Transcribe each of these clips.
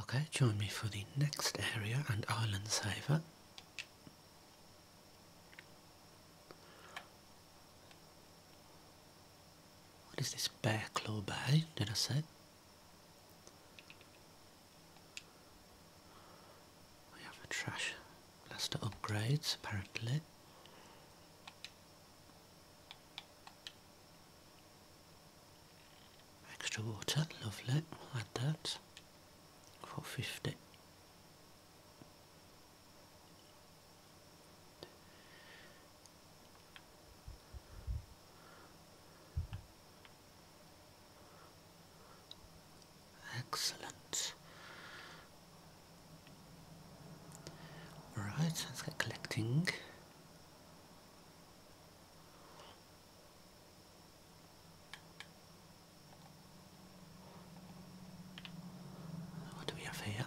Okay, join me for the next area and island saver. What is this Bear Claw Bay, did I say? We have a trash blaster upgrades apparently. Extra water, lovely, we'll add that, 450. Excellent. Right, let's get collecting. What do we have here?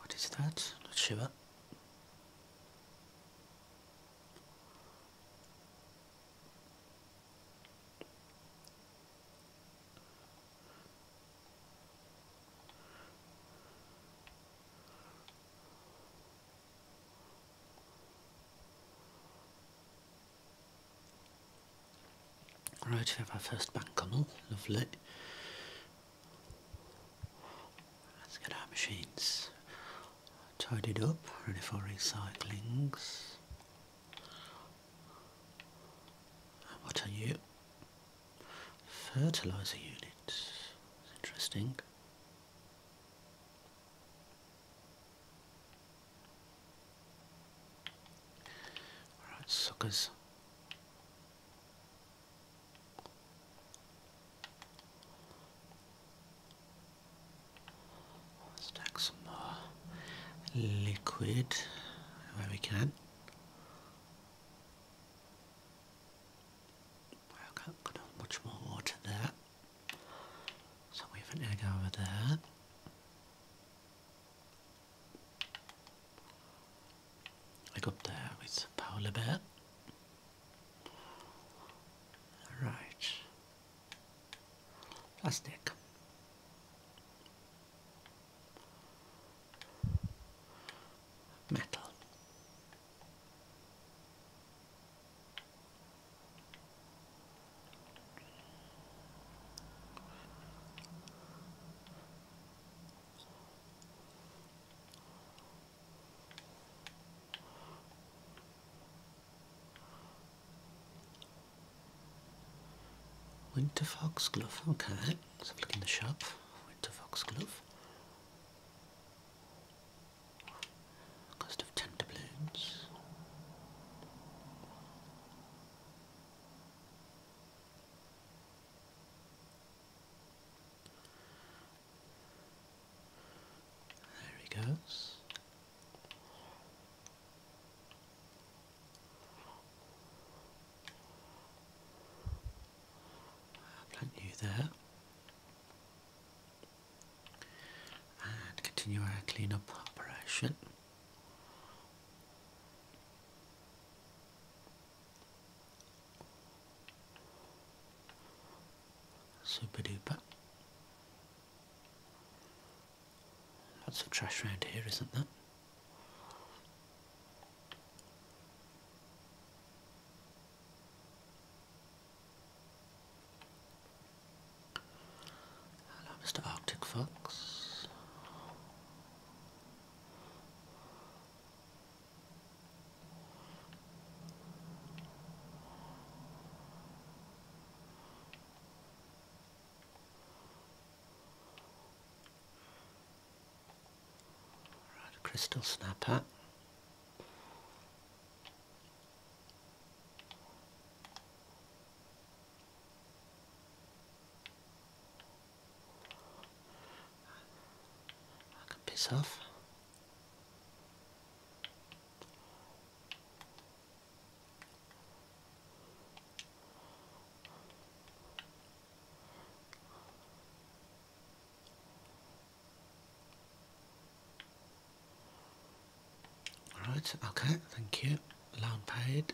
What is that? Not sure. Right, we have our first bank come on lovely. Let's get our machines tidied up, ready for recyclings. What are you? Fertilizer units. Interesting. Alright, suckers. Let's take some more liquid where we can. I can't much more water there. So we have an egg over there. Egg up there with polar bear. Right plastic. Metal. Winter glove. Okay, let's look in the shop. Winter foxglove. Cost of ten doubloons. There he goes. Plant you there. And continue our cleanup operation. Super duper. Lots of trash around here, isn't that? Hello, Mr. Arctic Fox crystal snapper. I can piss off. Right, okay, thank you. Loan paid.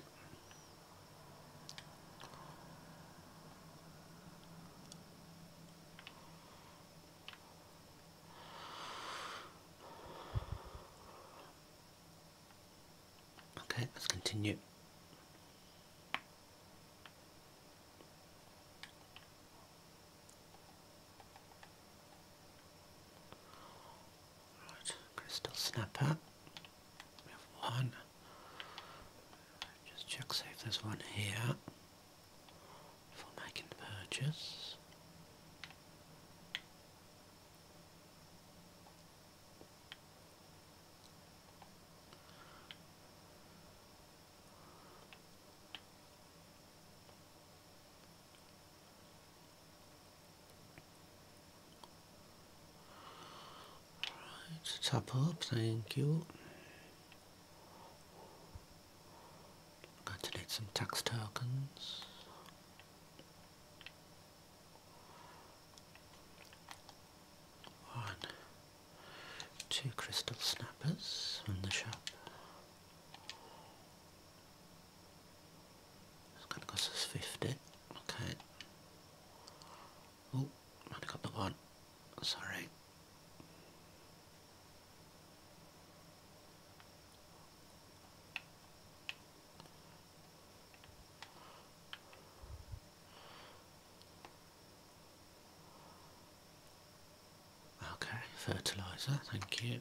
Okay, let's continue. Right, crystal snapper. We have one. Just check see if there's one here for making the purchase. tap up, thank you. I'm going to need some tax tokens. One, two crystal snappers from the shop. It's going to cost us 50. Okay. Oh, I got the one. Sorry. Okay, fertilizer, thank you.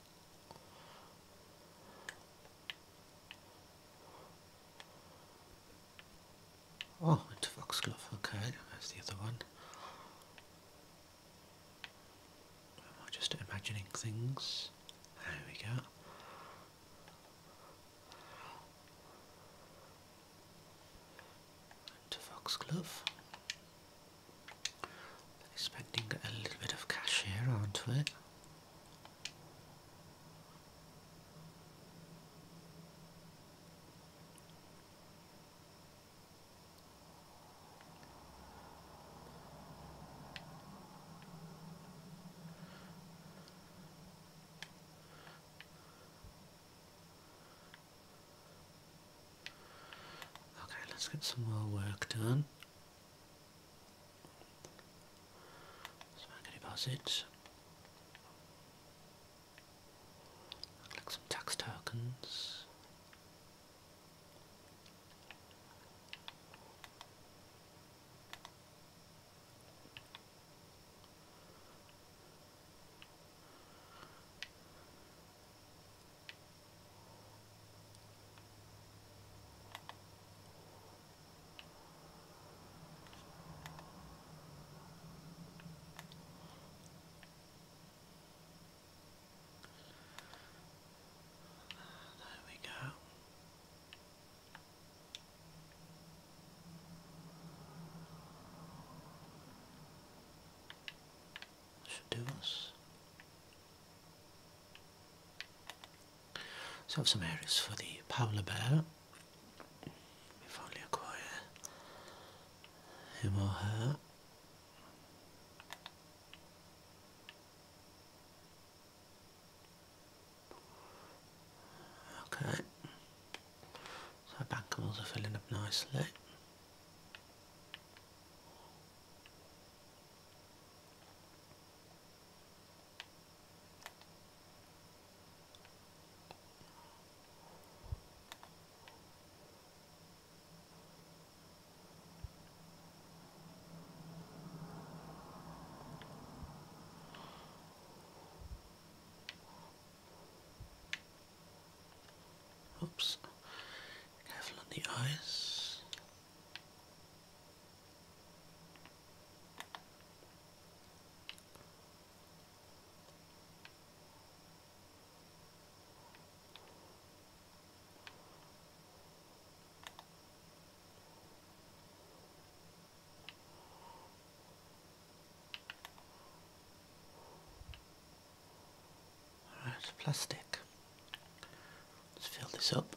Oh, it's Foxglove. Okay, there's the other one. Am I just imagining things? There we go. To Foxglove. Spending a little bit of cash aren't we? Okay, let's get some more work done. Smuggling deposits. Like some tax tokens. There we go. Should do us. So I have some areas for the Paula Bear. If only acquire him or her. Okay. So bankables are filling up nicely. Oops. Careful the eyes. All right, plastic. Let's fill this up.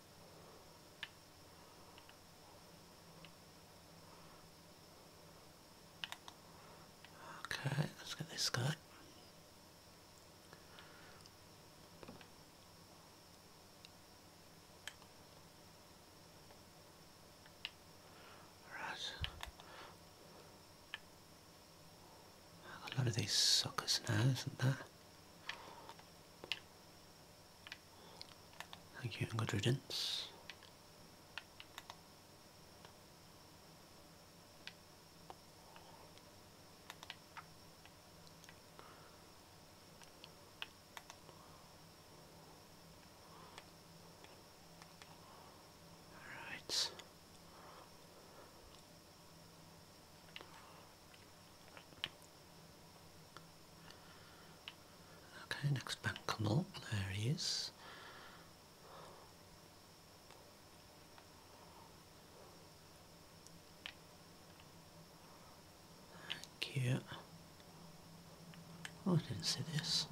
Okay, let's get this guy. Right. a lot of these suckers now, isn't that? Thank you good riddance. Right. Okay, next bank come there he is. Thank you. Oh, I didn't see this.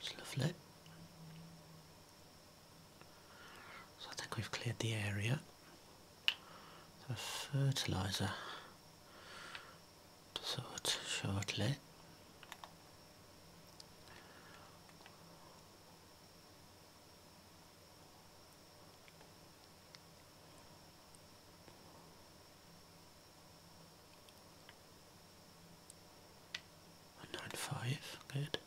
It's lovely. So I think we've cleared the area. The fertiliser to sort shortly. 195, good.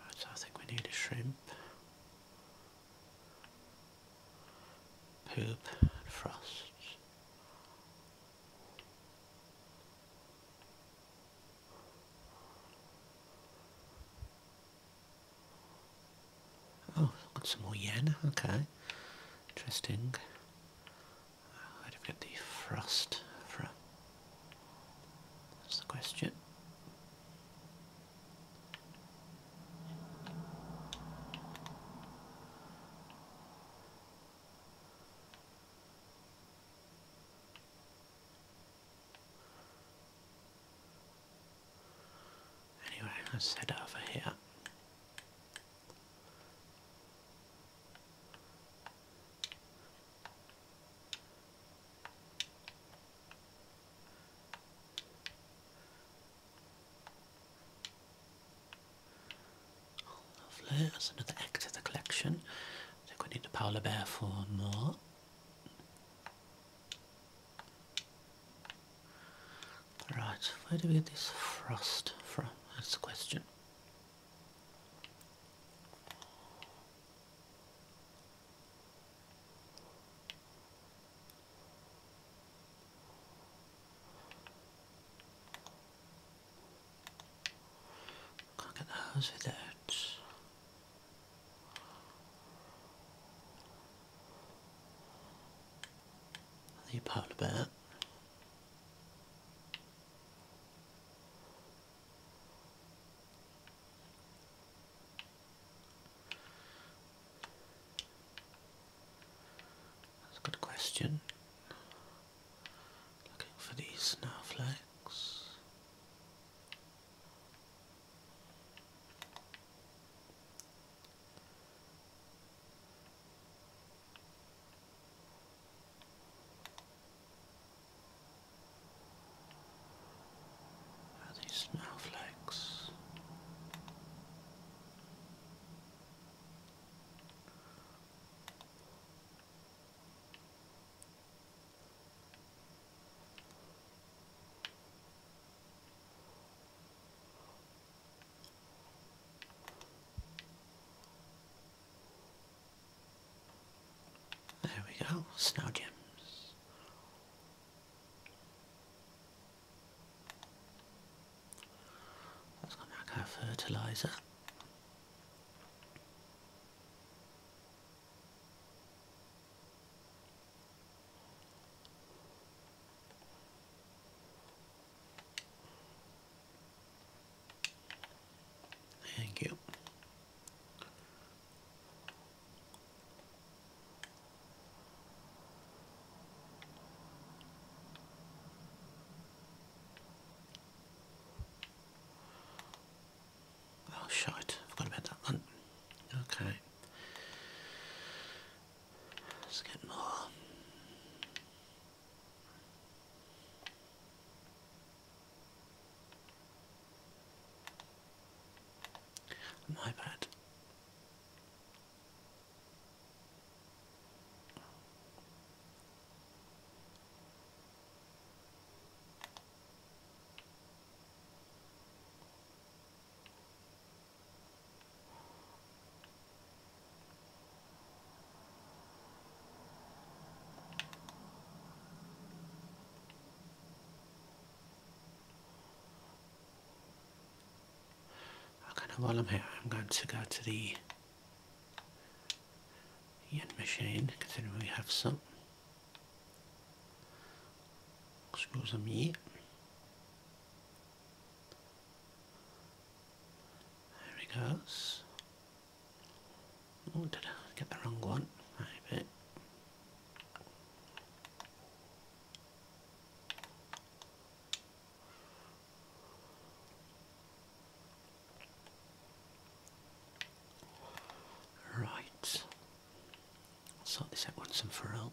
Right, so I think we need a shrimp, poop, frosts. Oh, got some more yen, okay. Interesting. Where do we get the frost from? That's the question. Anyway, let's head over here. Lovely, that's another act of the collection. I think we need a polar bear for more. Right, where do we get this frost from? That's the question. Can't get the hose without. The polar bear. That's a good question. Looking for these snowflakes. Are these snowflakes? There we go, snow gems. Let's go back our fertilizer. Thank you. Oh shite, I forgot about that Okay. Let's get I'm here, I'm going to go to the yen machine, considering we have some. Excuse me. There he goes. Oh, did I get the wrong one? Maybe. Right. I'll sort this out once and for all.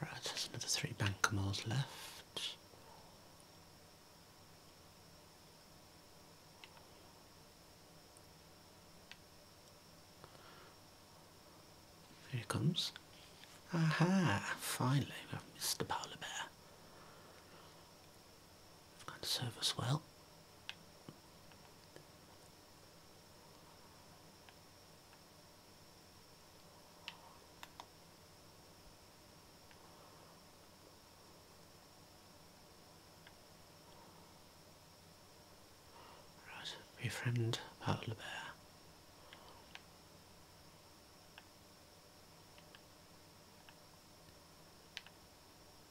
Right, there's another three Bankimores left. Here he comes. Aha! Finally, Mr. polar bear. It's to serve us well. Right, befriend Butler Bear.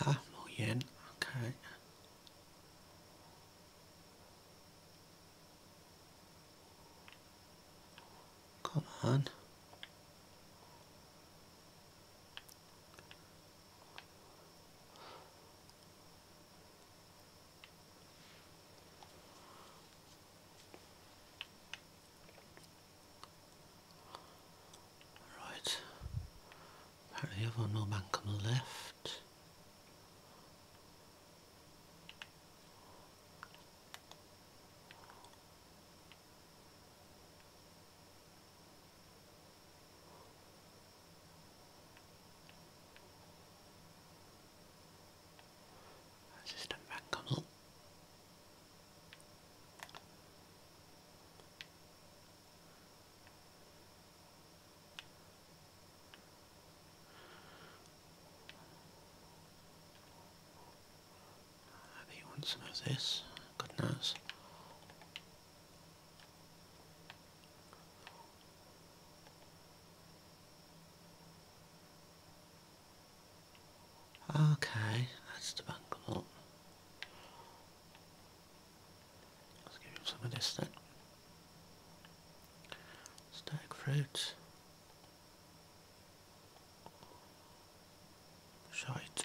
Ah, Half million, okay. Come on. Right, apparently everyone will bank on the left. System back on I think he some of this, God Okay, that's the bangle up. Let's give him some of this then. Stag fruit. Shite.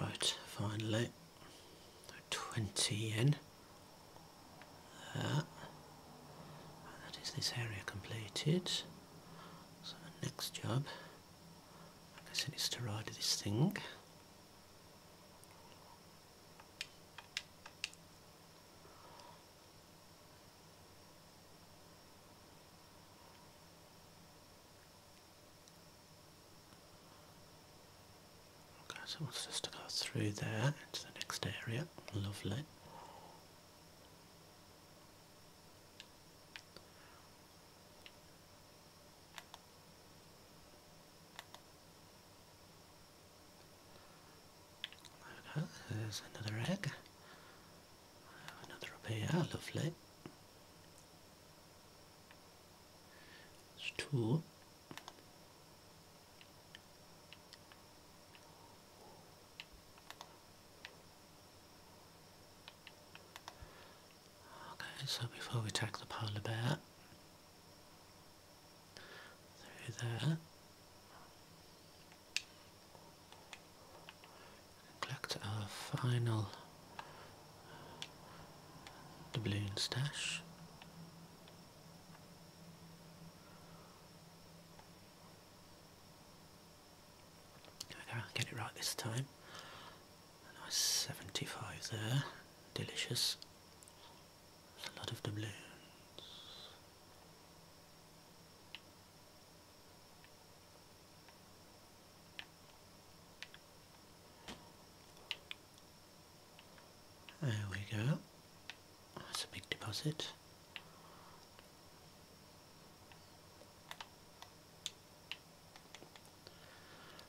Right, finally. 20 in. that is this area completed. So the next job, I guess it is to ride this thing. Okay, so it wants us to go through there into the next area. Lovely. there's another egg. Another up here, lovely. There's two. Okay, so before we take the polar bear through there, collect our final doubloon stash. I'll get it right this time. nice 75 there. Delicious. a lot of doubloons. There we go. That's a big deposit.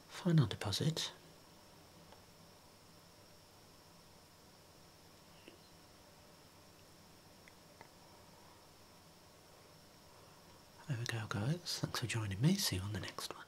Final deposit. There we go guys, thanks for joining me, see you on the next one.